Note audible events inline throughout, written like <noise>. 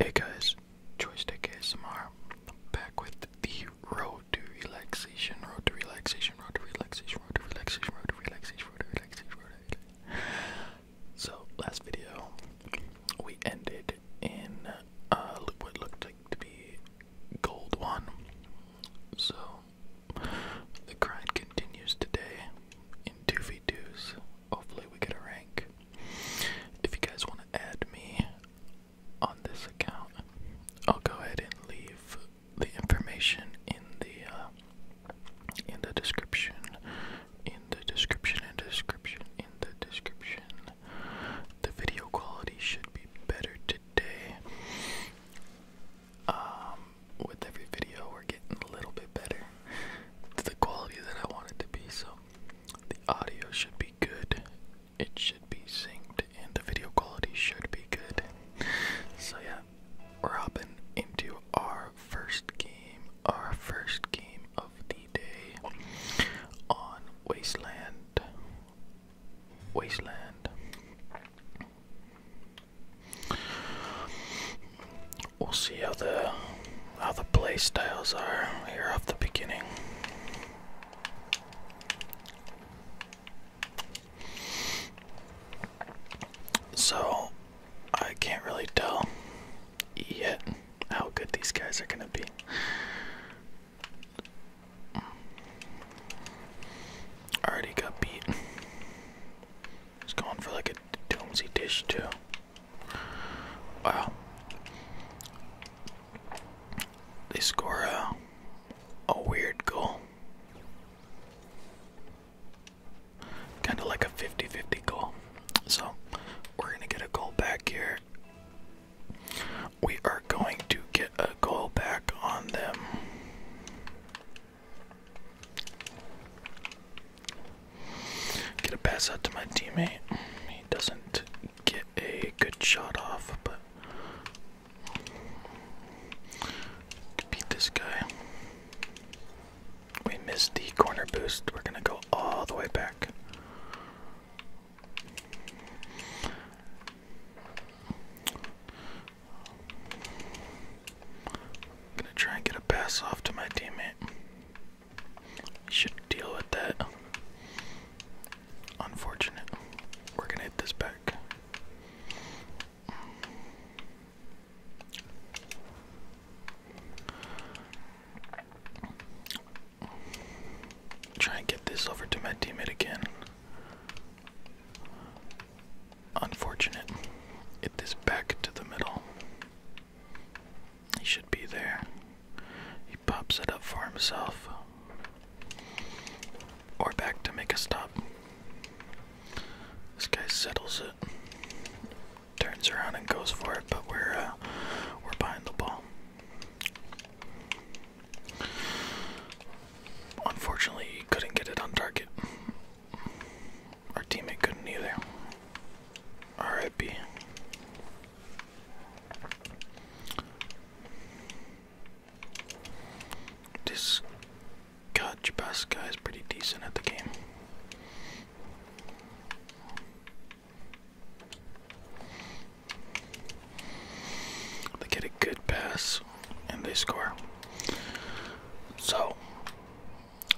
Hey guys, Joystick ASMR back with the road to relaxation, road to relaxation, road to relaxation, road to relaxation, road to relaxation, road to relaxation, So last video we ended in uh what looked like to be gold one. So the grind continues today in 2 v Hopefully we get a rank. If you guys want to add me on this account, I'll go ahead and leave the information in the uh, in the description, in the description, and description, in the description. The video quality should be better today. Um, with every video, we're getting a little bit better the quality that I want to be. So the audio should be good. It should be synced, and the video quality should be good. So yeah, we're hopping into our first game, our first game of the day on Wasteland. Wasteland we'll see how the how the play styles are here off the beginning. So I can't really tell yet how good these guys are gonna be. Already got beat. He's going for like a Toomsy dish too. Wow. They score a, a weird goal. Kind of like a 50 50 goal. So we're going to get a goal back here. We are going to get a goal back on them. Get a pass out to my teammate. He doesn't get a good shot off, but beat this guy. We missed the corner boost. We're gonna go all the way back. I'm gonna try and get a pass off to my teammate. should deal with that. Unfortunate. We're gonna hit this back. Try and get this over to my teammate again. Unfortunate. It is back to the middle. He should be there. He pops it up for himself. Or back to make a stop. This guy settles it. Turns around and goes for it, but we're uh, we're behind the ball. Unfortunately, he couldn't get it on target. Our teammate couldn't either. RIP. This Gotch Bus guy is pretty decent at the game. They get a good pass and they score. So,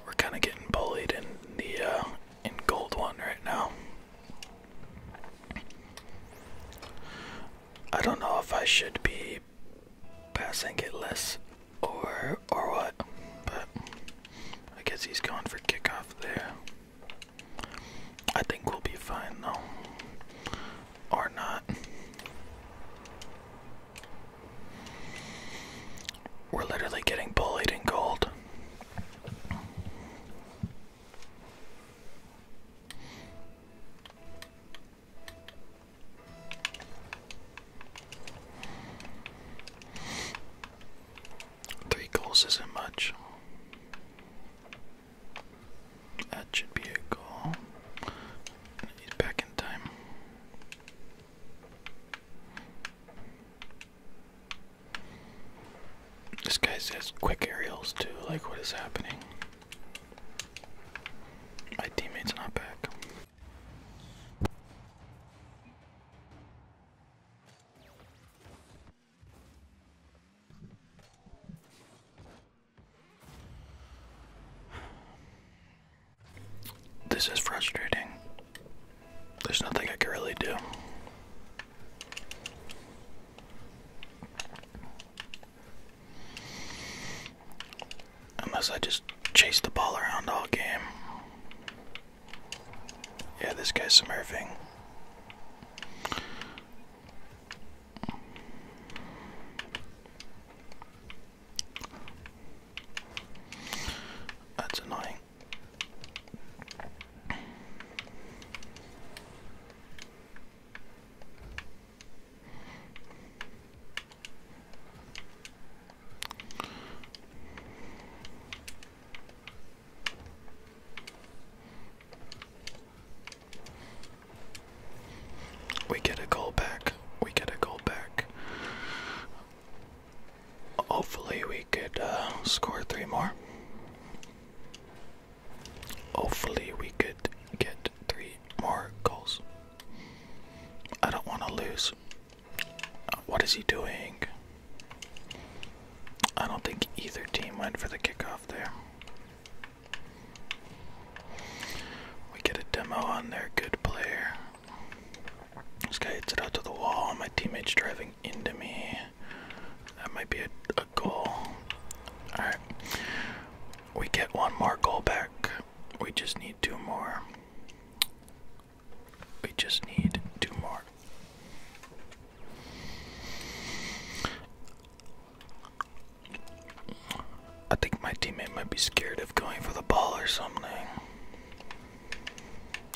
we're kind of getting bullied in the uh, in gold one right now. I don't know if I should be passing it less or or what, but I guess he's going for kickoff there. I think we'll be fine though, or not. We're literally getting bullied in gold. Three goals isn't much. That should be a goal. He's back in time. This guy says quick aerials too, like what is happening? My teammate's not back. This is frustrating. There's nothing I can really do. Unless I just chase the ball around all game. Yeah, this guy's smurfing. That's annoying. We get a call back. We get a goal back. Hopefully, we could uh, score three more. Hopefully, we could get three more goals. I don't want to lose. What is he doing? I don't think either team went for the kickoff there. We get a demo on their good player. This guy hits it out to the wall. My teammate's driving into me. That might be a, a goal. Alright. We get one more goal back. We just need two more. We just need two more. I think my teammate might be scared of going for the ball or something.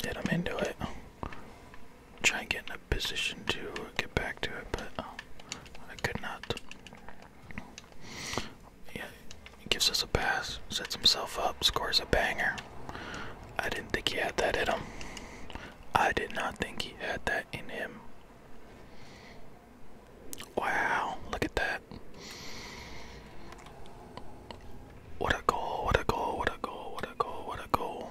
Get him into it. Try and get in a position to get back to it, but oh, I could not. Yeah, gives us a pass, sets himself up, scores a banger. I didn't think he had that in him. I did not think he had that in him. Wow, look at that. What a goal, what a goal, what a goal, what a goal, what a goal.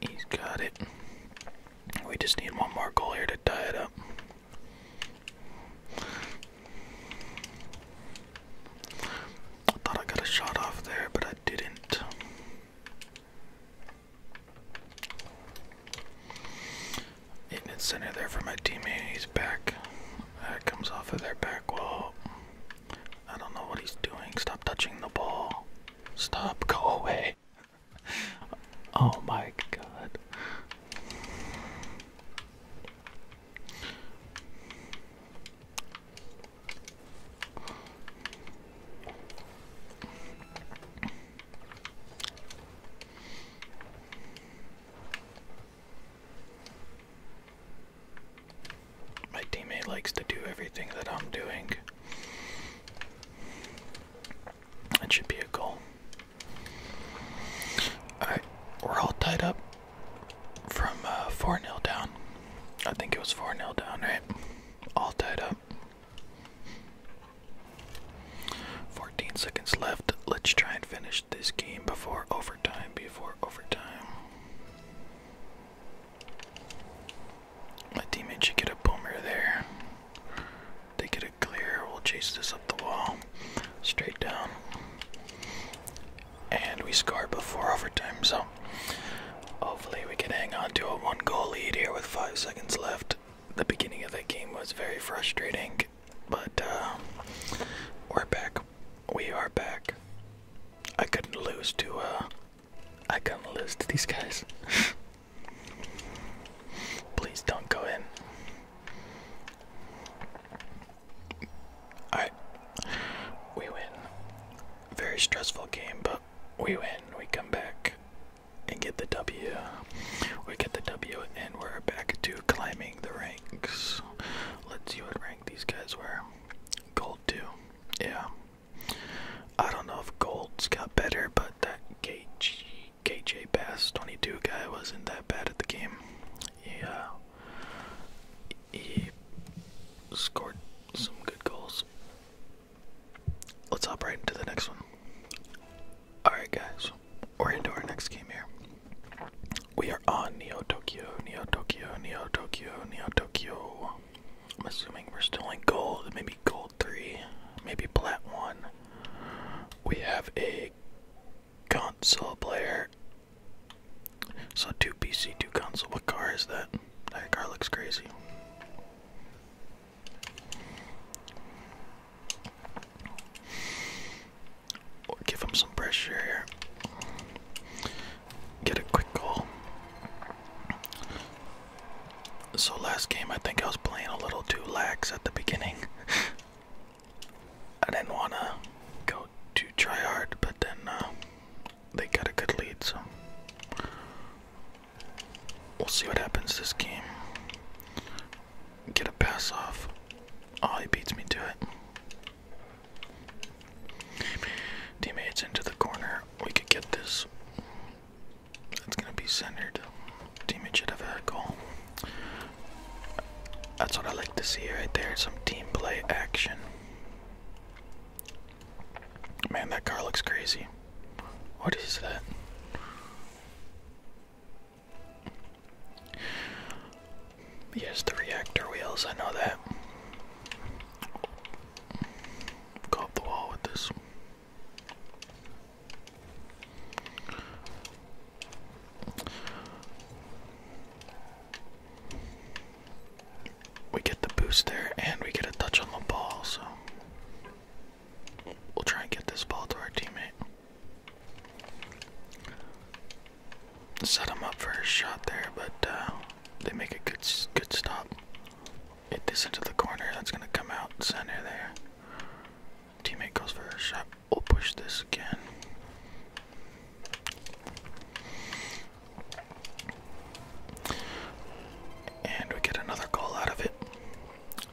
He, has got it. We just need one more goal here to tie it up. I thought I got a shot off there, but I didn't. Hitting it center there for my teammate. He's back. That uh, comes off of their back wall. I don't know what he's doing. Stop touching the ball. Stop. Go away. <laughs> oh my god. My teammate likes to do everything that I'm doing. That should be a goal. Alright, we're all tied up from uh, 4 0 down. I think it was 4 0 down, right? All tied up. 14 seconds left. Let's try and finish this game before overtime. Before overtime. My teammate should get a boomer there. They get a clear. We'll chase this up the wall. Straight down. And we scored before overtime, so hopefully we can hang on to a one goal lead here with five seconds left. The beginning of the game was very frustrating, but uh, we're back. We are back. I couldn't lose to uh, I couldn't lose to these guys. <laughs> Please don't go in. Alright. We win. Very stressful game, but we win. We come back and get the W. We get the W and we're back to climbing the ranks. Let's see what rank these guys were. Gold 2. Yeah. I don't know if gold's got better, but that KG, KJ Bass 22 guy wasn't that bad at the game. Yeah. he scored some good goals let's hop right into the next one. Alright, guys, we're into our next game here. We are on Neo Tokyo, Neo Tokyo, Neo Tokyo, Neo Tokyo. I'm assuming we're still in gold, maybe gold 3, maybe plat 1. We have a console player. So, two PC, two console. What car is that? That car looks crazy give him some pressure here. Get a quick goal. So last game, I think I was playing a little too lax at the beginning. <laughs> I didn't want to go too try hard, but then uh, they got a good lead, so We'll see what happens this game. Get a pass off. Oh, he beats me to it. Teammates into the corner. We could get this. It's gonna be centered. Teammate should have a goal. That's what I like to see right there. Some team play action. Man, that car looks crazy. What is that? Yes, the reactor wheels, I know that. Go the wall with this we get the boost there and we get a touch on the ball, so we'll try and get this ball to our teammate. Set him up for a shot there, but uh, they make a good good stop. Hit this into the corner. That's gonna come out center there. Teammate goes for a shot. We'll push this again. And we get another goal out of it.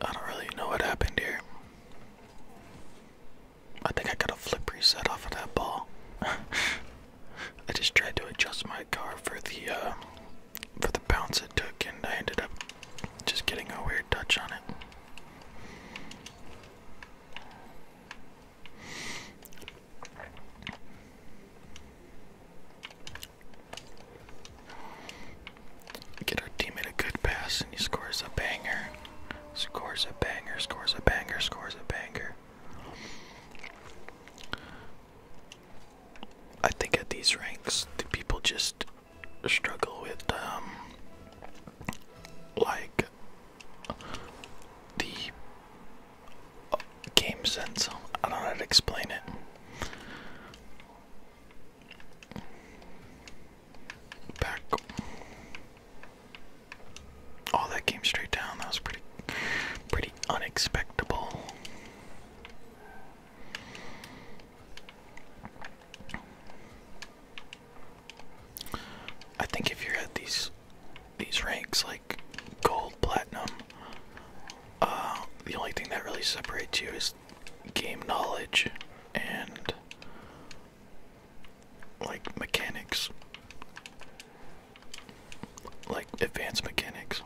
I don't really know what happened here. I think I got a flip reset off of that ball. <laughs> I just tried to adjust my car for the uh, for the bounce it took, and I ended up just getting a weird touch on it. Get our teammate a good pass, and he scores a banger. Scores a banger, scores a banger, scores a banger. I think at these ranks, the people just struggle with, um, like the game sense. I don't know how to explain it. Back. Oh, that came straight down. That was pretty, pretty unexpected. I think if you're at these these ranks like gold, platinum. Uh, the only thing that really separates you is game knowledge and like mechanics, like advanced mechanics.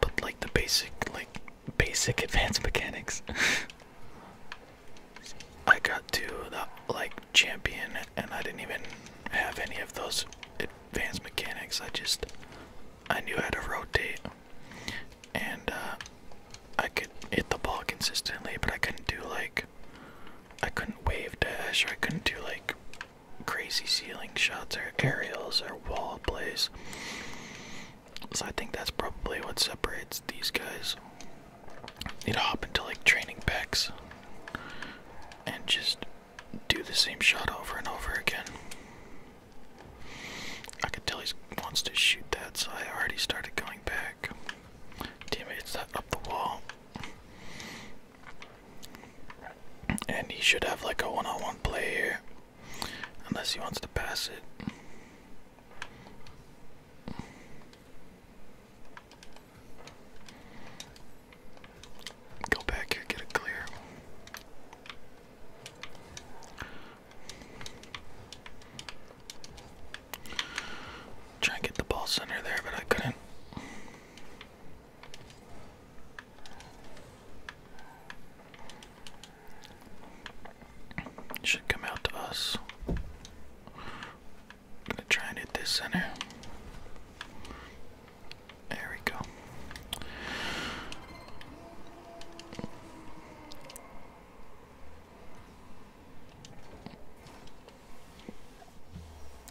But like the basic, like basic <laughs> advanced mechanics. <laughs> I got to the like champion and I didn't even have any of those advanced mechanics. I just I knew how to rotate, and uh, I could hit the ball consistently, but I couldn't do like I couldn't wave dash, or I couldn't do like crazy ceiling shots or aerials or wall plays. So I think that's probably what separates these guys. Need to hop into like training packs and just do the same shot over and over again. I can tell he wants to shoot that, so I already started going back. Teammates up the wall. And he should have like a one on one play here. Unless he wants to pass it. Go back here, get it clear. Try and get the ball center there, but I couldn't. Should come out to us. I'm gonna try and hit this center. There we go.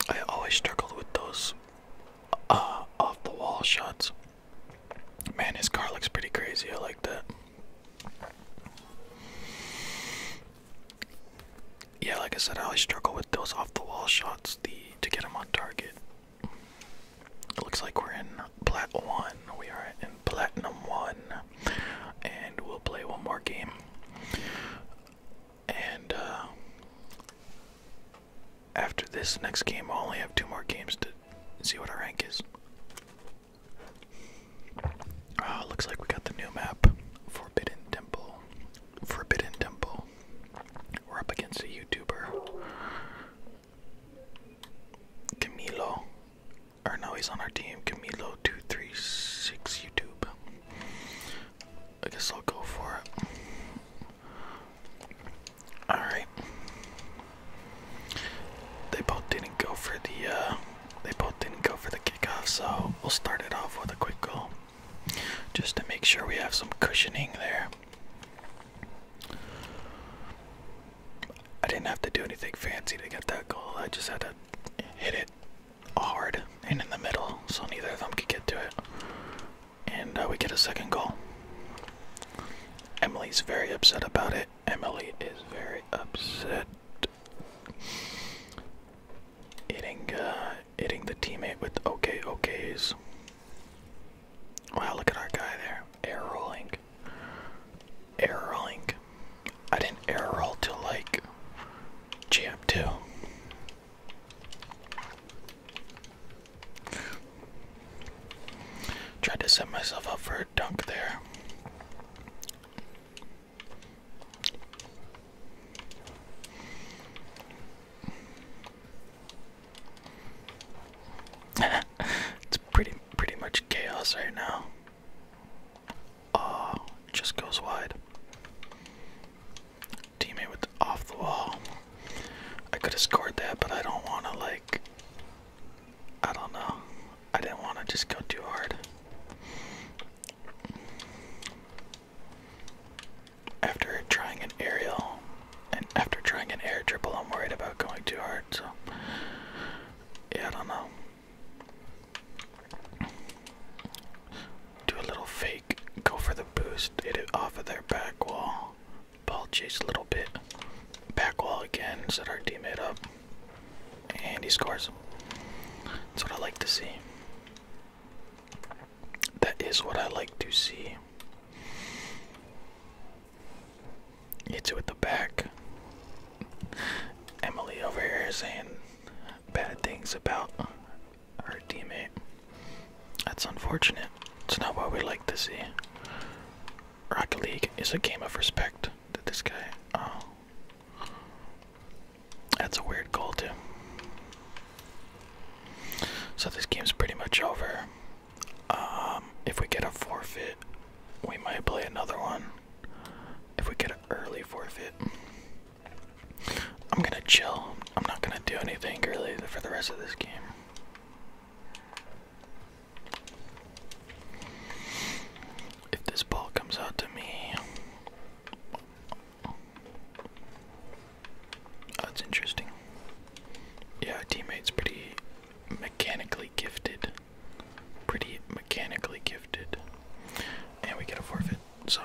I always struggled with those uh, off the wall shots. Man, his car looks pretty crazy. I like that yeah, like I said, I always struggle with those off the wall shots the to get them on target. It looks like we're in platinum one. We are in platinum one, and we'll play one more game. And uh, after this next game, I only have two more games to see what our rank is. Uh, looks like we got the new map, Forbidden Temple. Forbidden Temple. We're up against a YouTuber. Camilo. Or no, he's on our team. Camilo236 YouTube. I guess I'll go for it. Alright. They both didn't go for the uh they both didn't go for the kickoff, so we'll start it off with a quick goal just to make sure we have some cushioning there. I didn't have to do anything fancy to get that goal, I just had to hit it hard and in the middle so neither of them could get to it. And uh, we get a second goal. Emily's very upset about it. Emily is very upset. Eating, uh, hitting the teammate with okay okays. Wow, look at our guy there. Air rolling. Air rolling. I didn't air roll to like Jam 2 Tried to set myself up for a dunk there. <laughs> it's pretty pretty much chaos right now. Oh, just goes wide. Teammate with off the wall. I could have scored that, but I don't want to like. I don't know. I didn't want to just go too hard. After trying an aerial, and after trying an air dribble, I'm worried about going too hard, so. Yeah, I don't know. Do a little fake, go for the boost, hit it off of their back wall. Ball chase a little bit. Back wall again, set our teammate up. And he scores. That's what I like to see. That is what I like to see. It's with the back. Emily over here is saying bad things about her teammate. That's unfortunate. It's not what we like to see. Rocket League is a game of respect. Did this guy? Oh. That's a weird call too. So this game's pretty much over. Um, if we get a forfeit, we might play another one. If we get an early forfeit, I'm gonna chill. I'm not gonna do anything really for the rest of this game. If this ball comes out to me, that's interesting. Yeah, teammate's pretty mechanically gifted. Pretty mechanically gifted. And we get a forfeit, so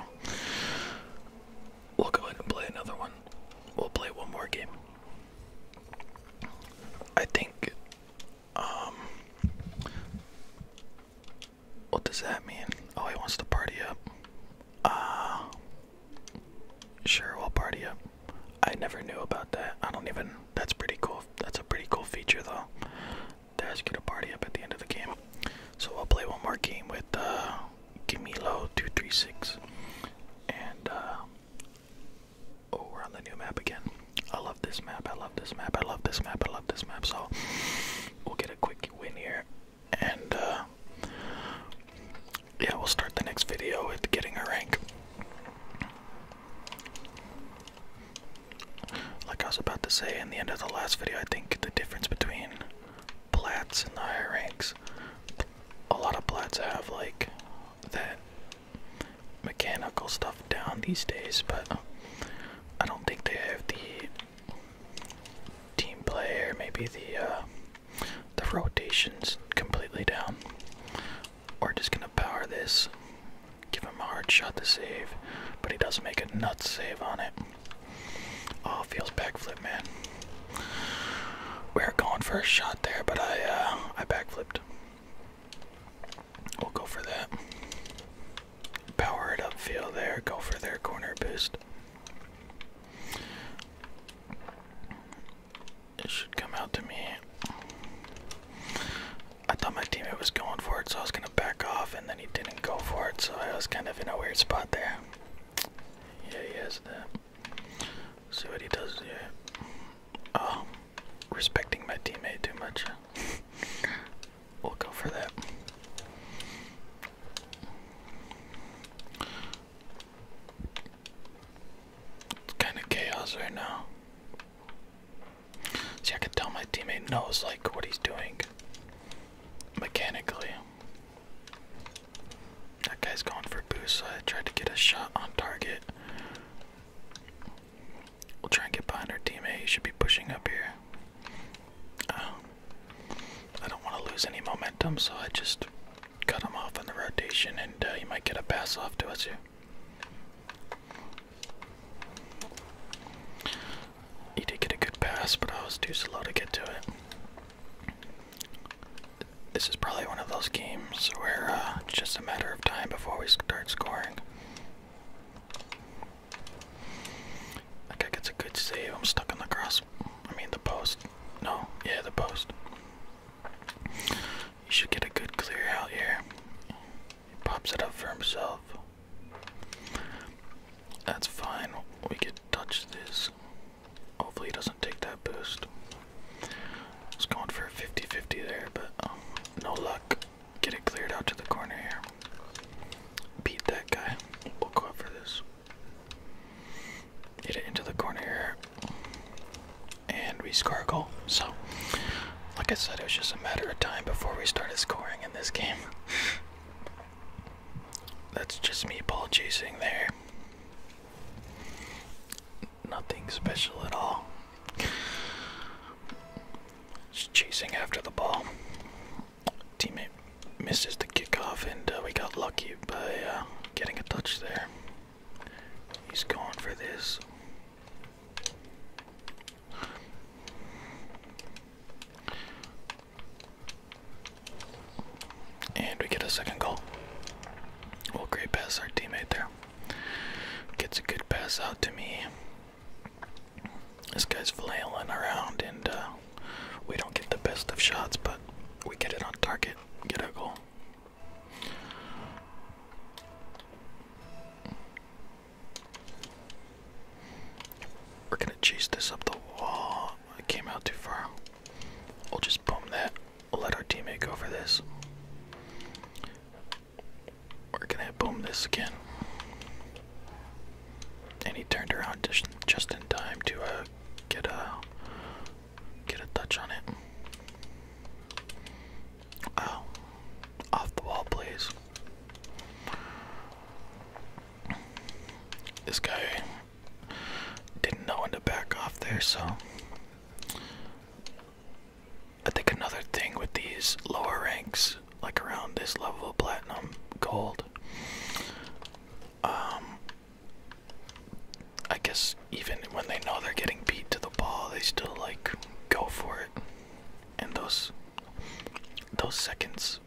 we'll go ahead and play another one. We'll play one more game. I think um, what does that mean? Oh, he wants to party up. Uh, sure, we'll party up. I never knew about that. I don't even. That's pretty cool. That's a pretty cool feature, though. To ask you to party up at the end of the game. So I'll play one more game with uh, Gamilo236. And, uh, oh, we're on the new map again. I love this map. I love this map. I love this map. I love this map. So we'll get a quick win here, and uh, yeah, we'll start the next video with getting a rank. Like I was about to say in the end of the last video, I think the difference between plats and the higher ranks, a lot of plats have like that mechanical stuff down these days, but I don't think they have the team player, maybe the uh, the rotations completely down. We're just gonna power this, give him a hard shot to save, but he does make a nut save on it. All oh, feels backflip, man. We are going for a shot there, but I uh, I backflipped. We'll go for that. Power it up, feel there. Go for their corner boost. It should come out to me. I thought my teammate was going for it, so I was going to back off, and then he didn't go for it, so I was kind of in a weird spot there. Yeah, he has that. See what he does Yeah. Oh, respecting my teammate too much. <laughs> We'll go for that. It's kind of chaos right now. See, I can tell my teammate knows like what he's doing mechanically. That guy's going for goose, so I tried to get a shot on target. We'll try and get behind our teammate. He should be pushing up here. Um, I don't want to lose any momentum, so I just cut him off in the rotation, and you uh, might get a pass off to us here. He did get a good pass, but I was too slow to get to it. This is probably one of those games where uh, it's just a matter of time before we start scoring. I think it's a good save. I'm stuck on the cross. I mean, the post. No, yeah, the post. You should get a good clear out here. He pops it up for himself. That's fine. We get touched this. Hopefully, he doesn't take that boost. I going for a 50 50 there, but um, no luck get it cleared out to the corner here. Beat that guy. We'll go up for this. Hit it into the corner here. And we score a goal. So, like I said, it was just a matter of time before we started scoring in this game. That's just me ball chasing there. Nothing special at all. Just chasing after the ball. Teammate misses the kickoff, and uh, we got lucky by uh, getting a touch there. He's going for this. And we get a second goal. Well, great pass, our teammate there. Gets a good pass out to me. This guy's flailing around, and uh, we don't get the best of shots, but we get it on target, get a goal. We're gonna chase this up the wall. I came out too far. We'll just boom that. let our teammate go for this. We're gonna boom this again. And he turned around just in time to uh, get a get a touch on it. Oh, off the wall, please. This guy didn't know when to back off there, so I think another thing with these lower ranks, like around this level, platinum, gold, um, I guess even when they know they're getting beat to the ball, they still like go for it. And those those seconds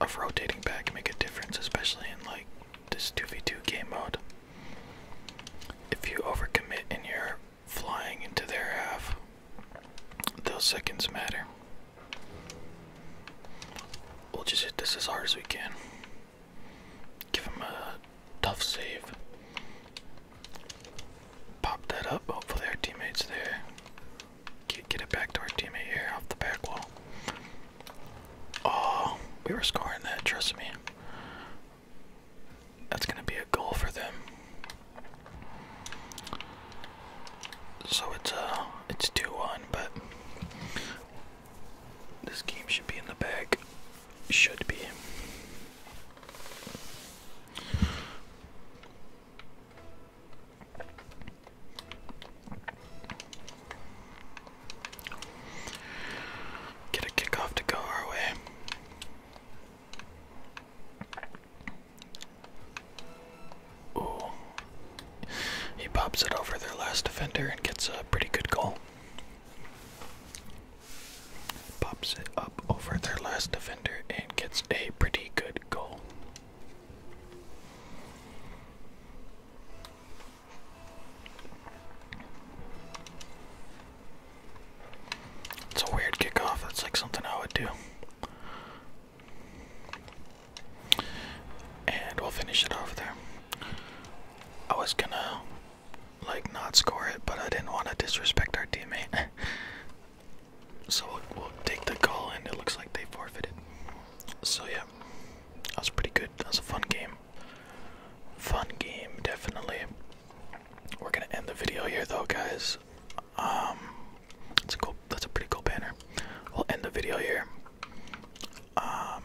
of rotating back make a difference, especially in like this 2v2 game mode. If you overcommit in your flying into their half. Those seconds matter. We'll just hit this as hard as we can. Give him a tough save. Pop that up. Hopefully, our teammate's there. Get, it back to our teammate here off the back wall. Oh, we were scoring that, trust me. That's going to be a goal for them. So it's uh it's 2-1, but this game should be in the bag. Should be. Get a kickoff to go our way. Ooh. He pops it over their last defender and gets a pretty good goal. Pops it up over their last defender and gets a pretty good goal. It's a weird kickoff. That's like something I would do. And we'll finish it off there. I was gonna like not score it, but I didn't want to disrespect our teammate. <laughs> so we'll, take the call, and it looks like they forfeited. So yeah, that was pretty good. That was a fun game. Fun game, definitely. We're gonna end the video here though, guys. Um, that's a cool. That's a pretty cool banner. We'll end the video here. Um,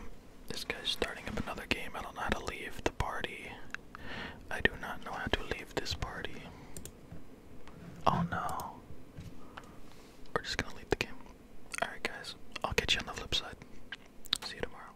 this guy's starting up another game. I don't know how to leave the party. I do not know how to leave this party. Oh no. We're just gonna leave the game. Alright, guys. I'll catch you on the flip side. See you tomorrow.